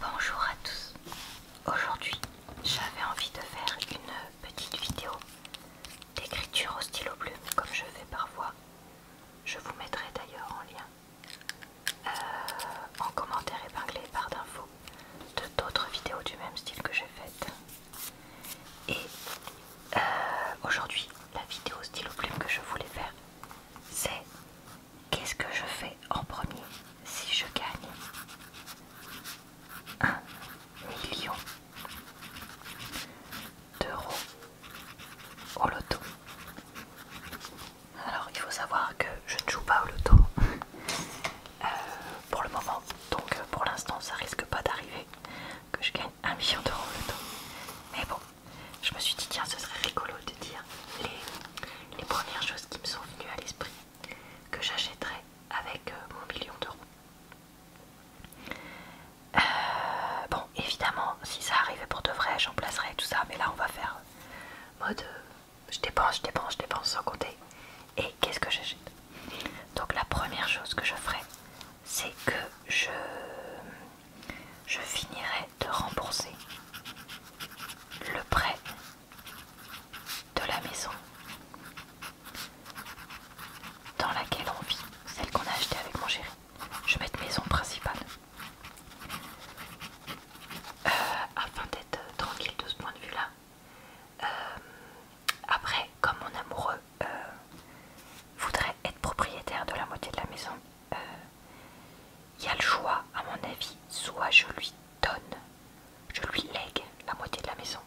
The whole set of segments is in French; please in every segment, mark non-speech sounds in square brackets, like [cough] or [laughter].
Bonjour à tous. Aujourd'hui, j'avais envie de faire une petite vidéo d'écriture au stylo plume comme je fais parfois. Je vous mettrai d'ailleurs en lien euh, en commentaire épinglé par d'infos de d'autres vidéos du même style que j'ai faites. Et euh, aujourd'hui, la vidéo stylo plume que je voulais faire, c'est qu'est-ce que je fais en premier si je gagne 1 million d'euros au loto Alors il faut savoir que je ne joue pas au loto euh, pour le moment, donc euh, pour l'instant ça risque pas d'arriver que je gagne 1 million d'euros au loto. Mais bon, je me suis dit tiens ce serait rigolo de dire les les premières choses qui me sont venues à l'esprit que j'achèterais avec euh, mon million d'euros. Euh, bon, évidemment, si ça arrivait pour de vrai, j'en tout ça, mais là on va faire euh, mode je dépense, je dépense, je dépense sans compter. Et qu'est-ce que j'achète Donc la première chose que je ferai, c'est que je, je finirai de rembourser le prêt de la maison dans laquelle on vit, celle qu'on a achetée avec mon chéri. Je vais maison principale. Euh, afin d'être tranquille de ce point de vue-là. Euh, après, comme mon amoureux euh, voudrait être propriétaire de la moitié de la maison, il y a le choix, à mon avis, soit je lui donne, je lui lègue la moitié de la maison,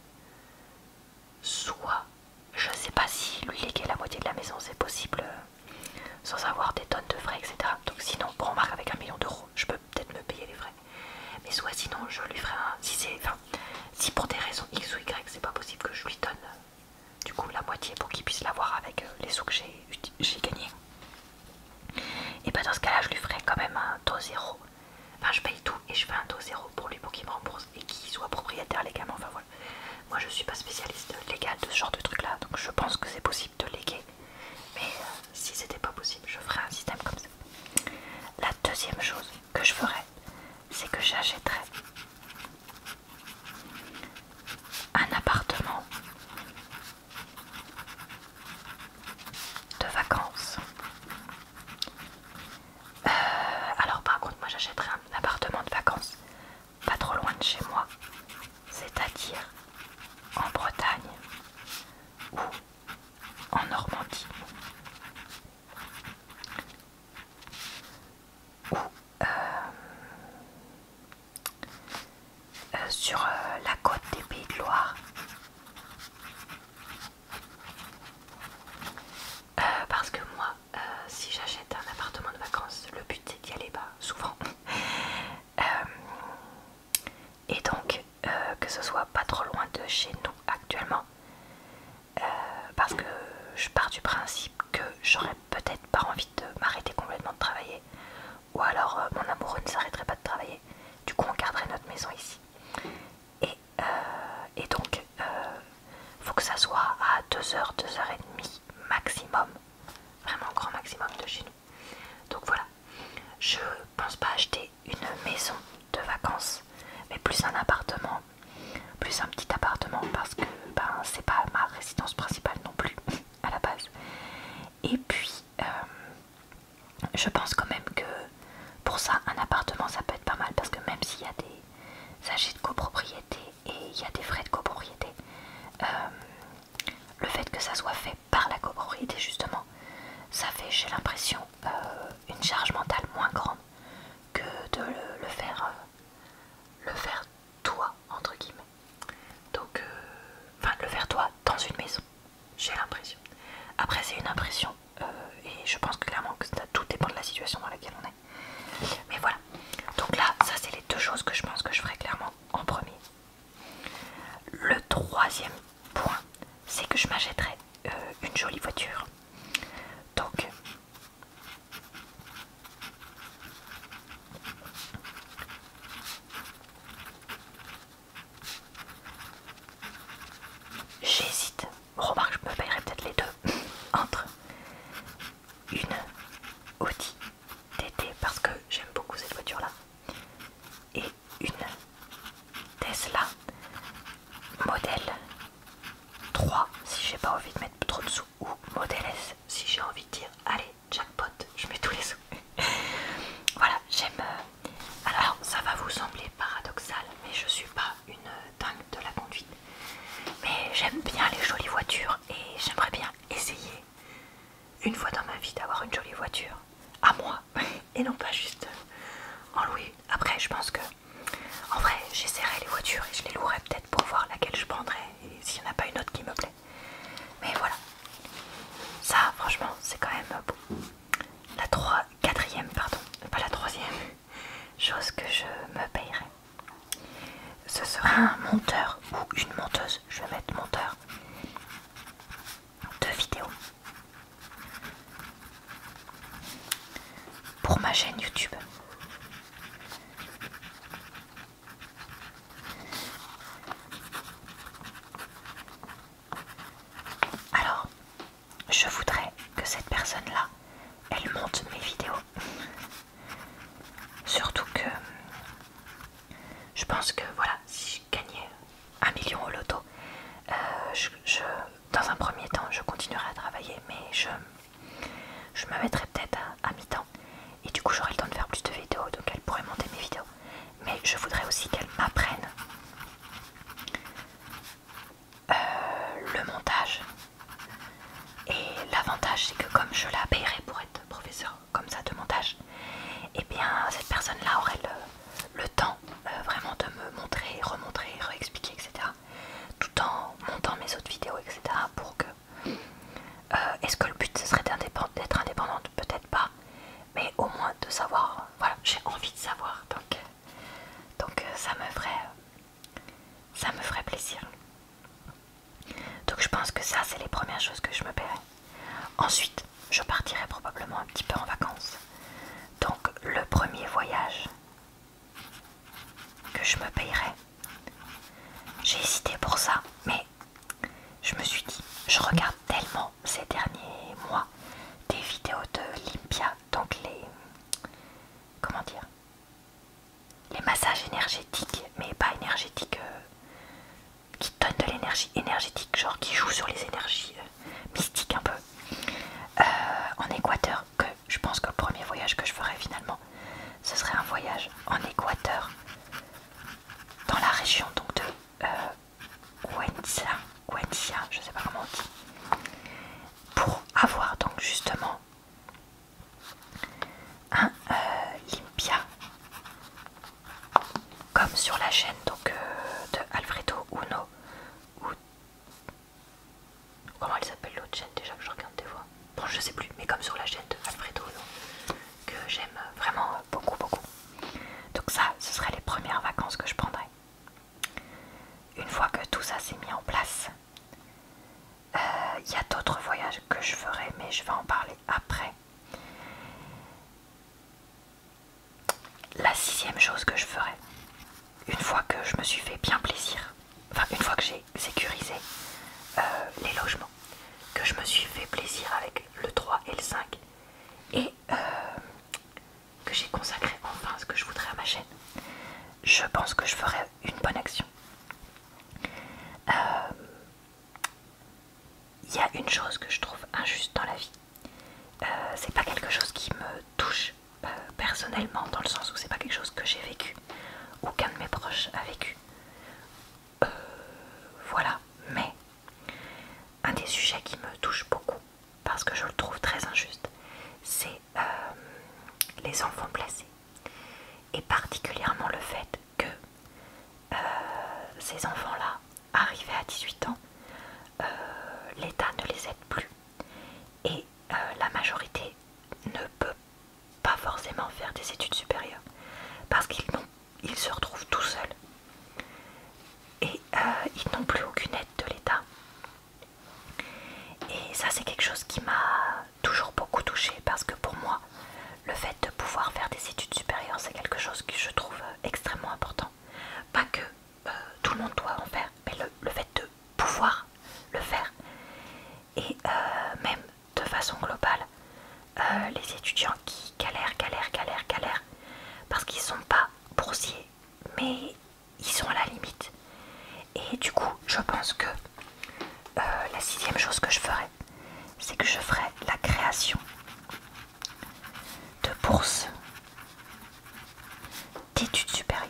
soit je ne sais pas si lui léguer la moitié de la maison c'est possible euh, sans avoir des tonnes de frais, etc. Donc sinon, bon, remarquer avec un million d'euros, je peux peut-être me payer les frais. Mais soit sinon, je lui ferai un. Si c'est. si pour des raisons X ou Y, c'est pas possible que je lui donne euh, du coup la moitié pour qu'il puisse l'avoir avec euh, les sous que j'ai gagnés. Et bah dans ce cas-là, je lui ferai quand même un taux zéro. Enfin, je paye tout et je fais un taux zéro pour lui pour qu'il me rembourse et qu'il soit propriétaire légalement. Enfin voilà. Moi, je suis pas spécialiste légal de ce genre de truc-là, donc je pense que c'est possible de léguer. Mais euh, si c'était pas possible, je ferais un système comme ça. La deuxième chose que je ferais, c'est que j'achèterais un appartement de vacances. Euh, alors par contre moi j'achèterai un appartement de vacances pas trop loin de chez moi, c'est-à-dire en Bretagne ou en Normandie ou euh, euh, sur euh, la côte des Pays de Loire. Euh, parce que moi, si j'achète un appartement de vacances, le but c'est d'y aller bas, souvent. [laughs] et donc, que ce soit pas trop loin de chez nous actuellement. parce que je pars du principe que j'aurais peut-être pas envie de m'arrêter complètement de travailler ou alors euh, mon amoureux ne s'arrêterait pas de travailler. Du coup, on garderait notre maison ici. Et, euh, donc, euh, faut que ça soit à 2h, 2h30 maximum, vraiment grand maximum de chez nous. Donc voilà, je pense pas acheter une maison de vacances, mais plus un appartement, plus un petit appartement parce que ben, c'est pas ma résidence principale non plus [laughs] à la base. Et puis euh, je pense quand même que pour ça un appartement ça peut être pas mal parce que même s'il y a des s'agit de copropriété et il y a des frais de copropriété, euh, le fait que ça soit fait par la copropriété justement, ça fait j'ai l'impression euh, une charge mentale moins grande que de le, faire le faire toi entre guillemets donc, euh, enfin, le faire toi dans une maison, j'ai l'impression. Après, c'est une impression, euh, et je pense que clairement que ça tout dépend de la situation dans laquelle on est. Mais voilà. Donc là, ça c'est les deux choses que je pense que je ferai clairement en premier. Le troisième point, c'est que je m'achèterai euh, une jolie voiture. Donc, J'hésite. Remarque, je me payerai peut-être les deux. [laughs] Entre une Audi TT parce que j'aime beaucoup cette voiture-là et une Tesla modèle 3 si j'ai pas envie de mettre trop de sous ou modèle S si j'ai envie de dire allez jackpot, je mets tous les sous. [laughs] voilà, j'aime. Euh, alors, ça va vous sembler paradoxal, mais je suis pas une euh, dingue de la conduite. Mais j'aime bien les jolies voitures et j'aimerais bien essayer une fois dans ma vie d'avoir une jolie voiture à moi [laughs] et non pas juste euh, en louer. Après, je pense que en vrai, j'essaierai les voitures et je les louerai peut-être pour voir laquelle je prendrai et s'il n'y en a pas une autre qui me plaît mais voilà. Ça, franchement, c'est quand même euh, beau. La pardon, pas la troisième chose que je me payerai. Ce sera un monteur ou une monteuse, je vais mettre monteur de vidéos pour ma chaîne YouTube. Alors, je voudrais que cette personne-là, elle monte mes vidéos. Surtout que je pense que voilà, si je gagnais un million au loto, euh, dans un premier temps, je continuerai à travailler, mais je, me mettrai peut-être à, à mi-temps. Et du coup, j'aurai le temps de faire plus de vidéos, donc elle pourrait monter mes vidéos mais je voudrais aussi qu'elle m'apprenne euh, le montage. Et l'avantage, c'est que comme je la paierai pour être professeur comme ça de montage, et eh bien cette personne-là aurait le, temps euh, vraiment de me montrer, remontrer, réexpliquer, etc. Tout en montant mes autres vidéos, etc. Pour que euh, Est-ce que le but ce serait d'être indépendante Peut-être pas mais au moins de savoir, voilà, j'ai envie de savoir, donc, donc euh, ça me ferait ça me ferait plaisir. Donc je pense que ça c'est les premières choses que je me paierai. Ensuite, je partirai probablement un petit peu en vacances. Donc le premier voyage que je me payerai. J'ai hésité pour ça, mais je me suis dit, je regarde tellement ces derniers mois des vidéos de Limpia, donc les. Comment dire Les massages énergétiques, mais pas énergétiques, euh, qui donnent de l'énergie énergétique, genre qui jouent sur les énergies euh, mystiques un peu. Euh, en Équateur, que je pense que le premier voyage que je ferais finalement, ce serait un voyage en Équateur, dans la région donc de Guenxia, euh, je sais pas comment on dit, pour avoir donc justement un euh, Limpia comme sur la chaîne donc euh, de Alfredo Uno ou comment ils s'appelle l'autre chaîne déjà je regarde des fois bon je sais plus mais comme sur la chaîne de Alfredo Uno que j'aime vraiment beaucoup, beaucoup. Donc ça, ce seraient les premières vacances que je prendrai Une fois que tout ça s'est mis en place, il euh, y a d'autres voyages que je ferai, mais je vais en parler après. La sixième chose que je ferai, une fois que je me suis fait bien plaisir, enfin une fois que j'ai sécurisé euh, les logements, que je me suis fait plaisir avec le 3 et le 5 et euh, que j'ai consacré enfin ce que je voudrais à ma chaîne je pense que je ferai une bonne action il euh, y a une chose que je trouve injuste dans la vie euh, c'est pas quelque chose qui me touche personnellement dans le sens où c'est pas quelque chose que j'ai vécu ou qu'un de mes proches a vécu euh, voilà, mais un des sujets qui me touche beaucoup, parce que je le trouve très injuste, c'est euh, les enfants placés. Et particulièrement le fait que euh, ces enfants-là, arrivés à 18 ans, l'État ne les aide plus. Et la majorité ne peut pas forcément faire des études supérieures parce qu'ils n'ont ils se retrouvent tout seuls Et euh, ils n'ont plus aucune aide de l'État. Et ça c'est quelque chose qui m'a toujours beaucoup touchée parce que pour moi, le fait de pouvoir faire des études supérieures, c'est quelque chose que je trouve euh, extrêmement important. Pas que euh, tout le monde doit en faire, mais le, fait de pouvoir le faire. Et même de façon globale, euh, les étudiants qui galèrent, galèrent, galèrent, galèrent, parce qu'ils ne sont pas boursiers, mais ils sont à la limite. Et du coup, je pense que euh, la sixième chose que je ferai, c'est que je ferai la création de bourses d'études supérieures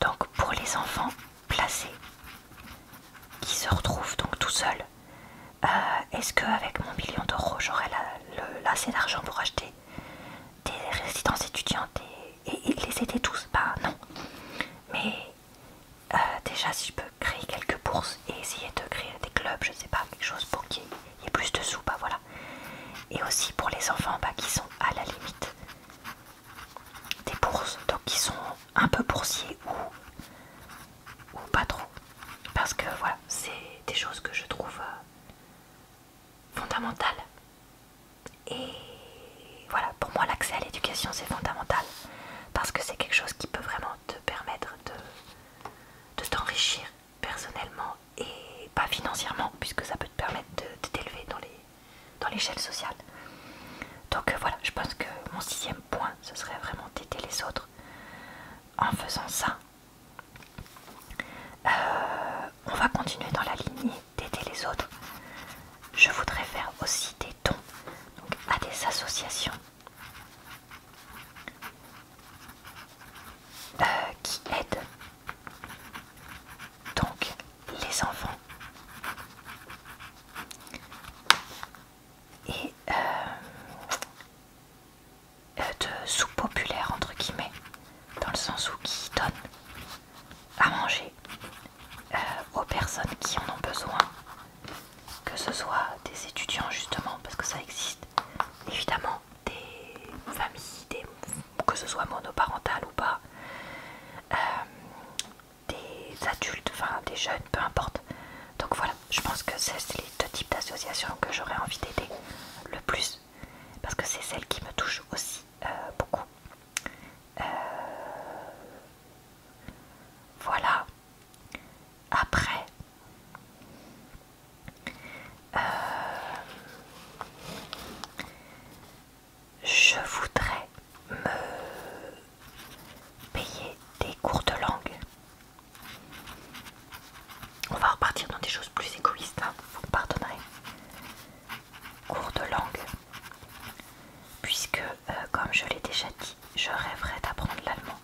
donc pour les enfants placés qui se retrouvent donc tout seuls, euh, est-ce qu'avec mon million d'euros j'aurai assez d'argent pour acheter des résidences étudiantes et, les aider tous Bah non. Mais euh, déjà si je peux créer quelques bourses et essayer de créer des clubs, je ne sais pas, quelque chose pour qu'il y, ait plus de sous, bah voilà. Et aussi pour les enfants ben, qui sont à la limite des bourses, donc qui sont un peu boursiers ou, pas trop. Parce que voilà, c'est des choses que je trouve euh, fondamentales. Et voilà, pour moi l'accès à l'éducation c'est fondamental. Parce que c'est quelque chose qui peut vraiment te permettre de, de t'enrichir personnellement et pas financièrement puisque ça peut te permettre de t'élever dans les dans l'échelle sociale. Donc euh, voilà, je pense que mon sixième point, ce serait vraiment d'aider les autres. En faisant ça, euh, on va continuer dans la lignée d'aider les autres. Je voudrais faire aussi des dons à des associations euh, qui aident donc, les enfants. Et euh, euh, de sous populaire, entre guillemets, dans le sens où qui donne à manger euh, aux personnes qui en ont besoin, que ce soit des étudiants justement, parce que ça existe évidemment, des familles, que ce soit monoparentales ou pas, euh, des adultes, enfin des jeunes, peu importe. Donc voilà, je pense que c'est les deux types d'associations que j'aurais envie d'aider le plus, parce que c'est celles qui me touchent aussi euh, beaucoup. Euh, voilà. Après, je voudrais me payer des cours de langue. On va repartir dans des choses plus égoïstes, hein. vous me pardonnerez. Cours de langue. Puisque, euh, comme je l'ai déjà dit, je rêverais d'apprendre l'allemand.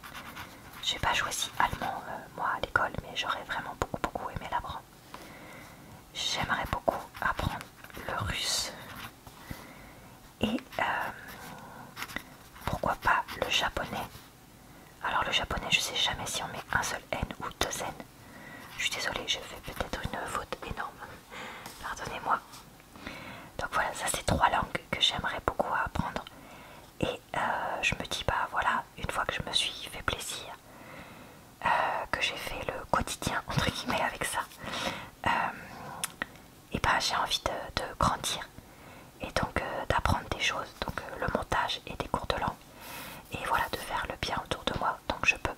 J'ai pas choisi allemand, euh, moi, à l'école, mais j'aurais vraiment beaucoup, beaucoup aimé l'apprendre. J'aimerais beaucoup apprendre le russe et euh, pourquoi pas le japonais. Alors le japonais, je sais jamais si on met un seul N ou deux N. Je suis désolée, je fais peut-être une faute énorme. [laughs] Pardonnez-moi. Donc voilà, ça c'est trois langues que j'aimerais beaucoup apprendre. Et euh, je me dis, bah voilà, une fois que je me suis fait plaisir, euh, que j'ai fait le quotidien entre guillemets avec ça, euh, et ben j'ai envie de, grandir et donc euh, d'apprendre des choses, donc le montage et des cours de langue, et voilà de faire le bien autour de moi, donc je peux.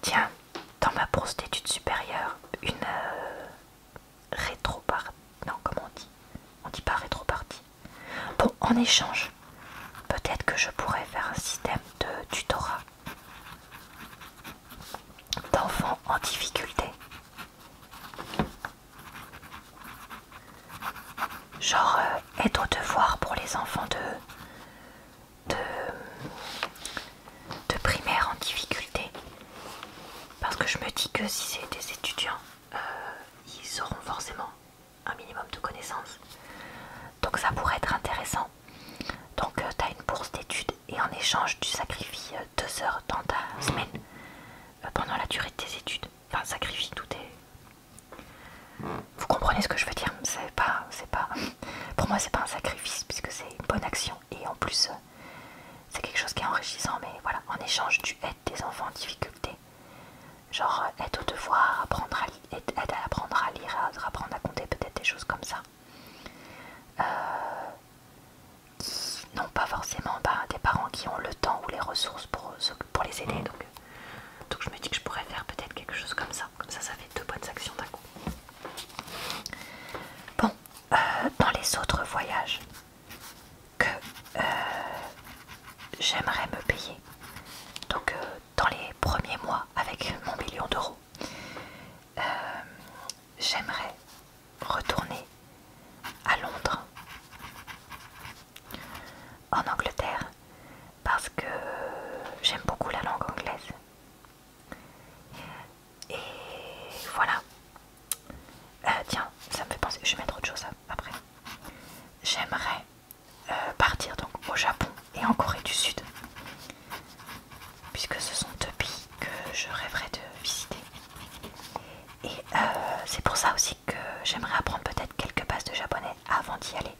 Tiens, dans ma bourse d'études supérieure une, rétropartie. Non, comment on dit On dit pas rétroparti. Bon, en échange, peut-être que je pourrais faire un système de tutorat d'enfants en difficulté. Genre euh, être au devoir pour les enfants de, de, de primaire en difficulté. Parce que je me dis que si c'est des étudiants, euh, ils auront forcément un minimum de connaissances. Donc ça pourrait être intéressant. Donc euh, tu as une bourse d'études et en échange tu sacrifies 2 euh, deux heures dans ta semaine pendant la durée de tes études. Enfin sacrifie tout est... Vous comprenez ce que je veux dire C'est pas... c'est pas... Pour moi c'est pas un sacrifice puisque c'est une bonne action et en plus c'est quelque chose qui est enrichissant, mais voilà, en échange, tu aides des enfants en difficulté. Genre, euh, aide aux devoirs, à aide, à apprendre à lire, à apprendre à compter, peut-être des choses comme ça. Euh, non pas forcément bah, des parents qui ont le temps ou les ressources pour, euh, les aider. Mm. Donc, je me dis que je pourrais faire peut-être quelque chose comme ça. Comme ça, ça fait deux bonnes actions d'un coup. Bon, dans les autres voyages, que euh, j'aimerais me payer. Donc euh, dans les premiers mois avec mon million d'euros, euh, j'aimerais retourner à Londres, en Angleterre, parce que j'aime beaucoup la langue anglaise. Et voilà, euh, tiens, ça me fait penser, je vais mettre autre chose après. J'aimerais euh, partir donc au Japon et en Corée du Sud, puisque ce sont deux pays que je rêverais de visiter. Et euh, c'est pour ça aussi que j'aimerais apprendre peut-être quelques bases de japonais avant d'y aller,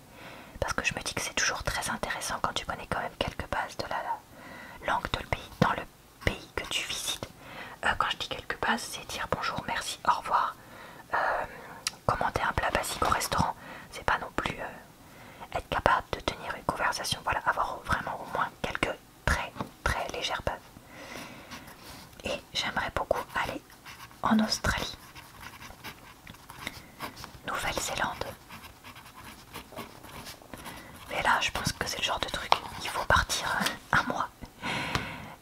parce que je me dis que c'est toujours très intéressant quand tu connais quand même quelques bases de la langue de le pays dans le pays que tu visites. Euh, quand je dis quelques bases, c'est dire bonjour, merci, au revoir. Euh, Commenter un plat basique au restaurant, c'est pas non plus euh, être capable de tenir une conversation. Voilà, avoir vraiment au moins quelques très très légères bases. Et j'aimerais beaucoup aller en Australie, Nouvelle-Zélande. Mais là, je pense que c'est le genre de truc, il faut partir un mois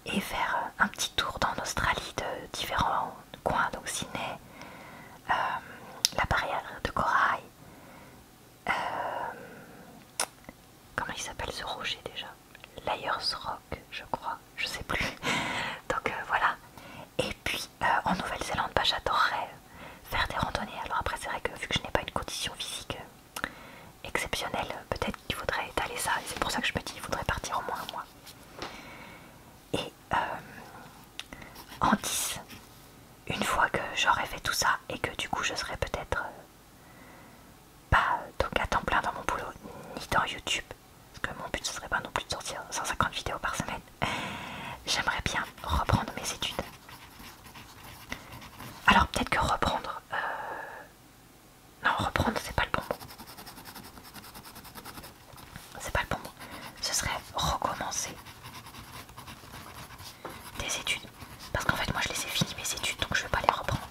et faire euh, un petit tour dans l'Australie de différents coins, donc Sydney, euh, la barrière de corail, euh, comment il s'appelle ce rocher déjà Layers Rock, je crois, je sais plus. [laughs] donc voilà. Et puis en Nouvelle-Zélande, bah, j'adorerais faire des randonnées. Alors après, c'est vrai que vu que je n'ai pas une condition physique exceptionnel, peut-être qu'il faudrait étaler ça, et c'est pour ça que je me dis qu'il faudrait partir au moins un mois. Et euh, en 10, une fois que j'aurai fait tout ça et que du coup je serai peut-être euh, pas donc à temps plein dans mon boulot ni dans YouTube, parce que mon but ce serait pas non plus de sortir 150 vidéos par semaine, j'aimerais bien reprendre mes études. Alors peut-être que reprendre, euh, non, reprendre, c'est pas le bon mot. C'est pas le bon mot. Ce serait recommencer des études. Parce qu'en fait, moi je les ai fini mes études, donc je vais pas les reprendre.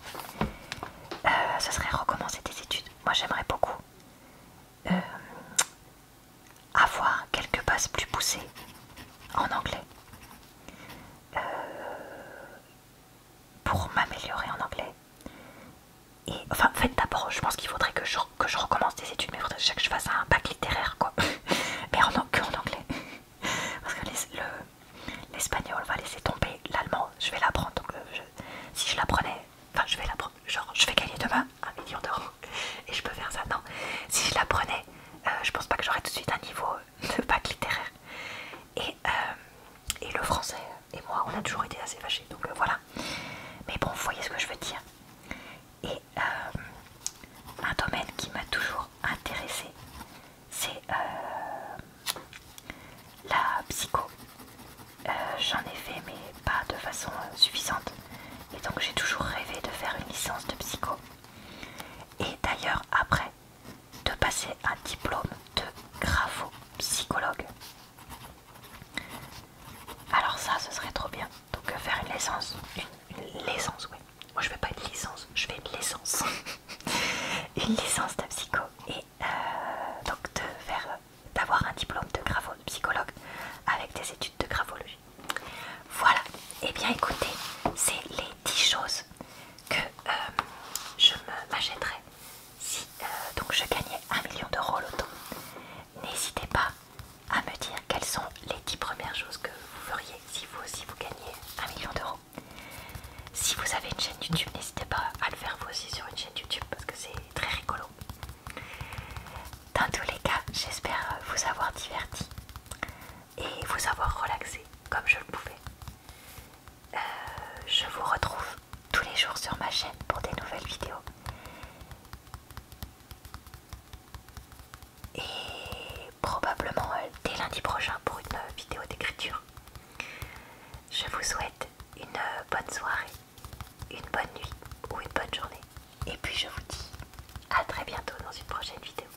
Euh, ce serait recommencer des études. Moi j'aimerais beaucoup euh, avoir quelques bases plus poussées en anglais. Euh, pour m'améliorer en anglais. Et enfin, d'abord, je pense qu'il faudrait que je, recommence des études, mais il faudrait que je fasse un bac littéraire, quoi. [laughs] mais en, anglais. Parce que l'espagnol, va laisser tomber. L'allemand, je vais l'apprendre. Donc, euh, si je l'apprenais, enfin, je vais l'apprendre. Genre, je vais gagner demain un million d'euros et je peux faire ça. Non, si je l'apprenais, euh, je pense pas que j'aurais tout de suite un niveau le bac littéraire. Euh, et, le français et moi, on a toujours été assez fâchés, donc euh, voilà. Mais bon, vous voyez ce que je veux dire. Et euh, un domaine qui m'a toujours Intéressé c'est la psycho. J'en ai fait, mais pas de façon suffisante. Et donc j'ai toujours rêvé de faire une licence de psycho. Et d'ailleurs, après, de passer un diplôme de grapho-psychologue Alors ça, ce serait trop bien. Donc euh, faire une licence, une, licence, oui. Moi, je fais pas une licence, je fais une licence. [laughs] une licence de psycho et euh, donc de faire, d'avoir un diplôme de grapho-psychologue avec des études de graphologie. Voilà. et eh bien, écoutez, c'est les 10 choses que euh, je m'achèterais si euh, donc je gagnais un million d'euros l'automne. N'hésitez pas à me dire quelles sont les 10 premières choses que vous feriez si vous aussi vous gagnez un million d'euros. Si vous avez une chaîne YouTube, n'hésitez pas à le faire vous aussi sur une chaîne YouTube parce que c'est très rigolo. Dans tous les cas, j'espère vous avoir diverti et vous avoir relaxé comme je le pouvais. Euh, je vous retrouve tous les jours sur ma chaîne pour des nouvelles vidéos. Et probablement euh, dès lundi prochain pour une euh, vidéo d'écriture. Je vous souhaite une bonne soirée, une bonne nuit ou une bonne journée. Et puis je vous dis à très bientôt dans une prochaine vidéo.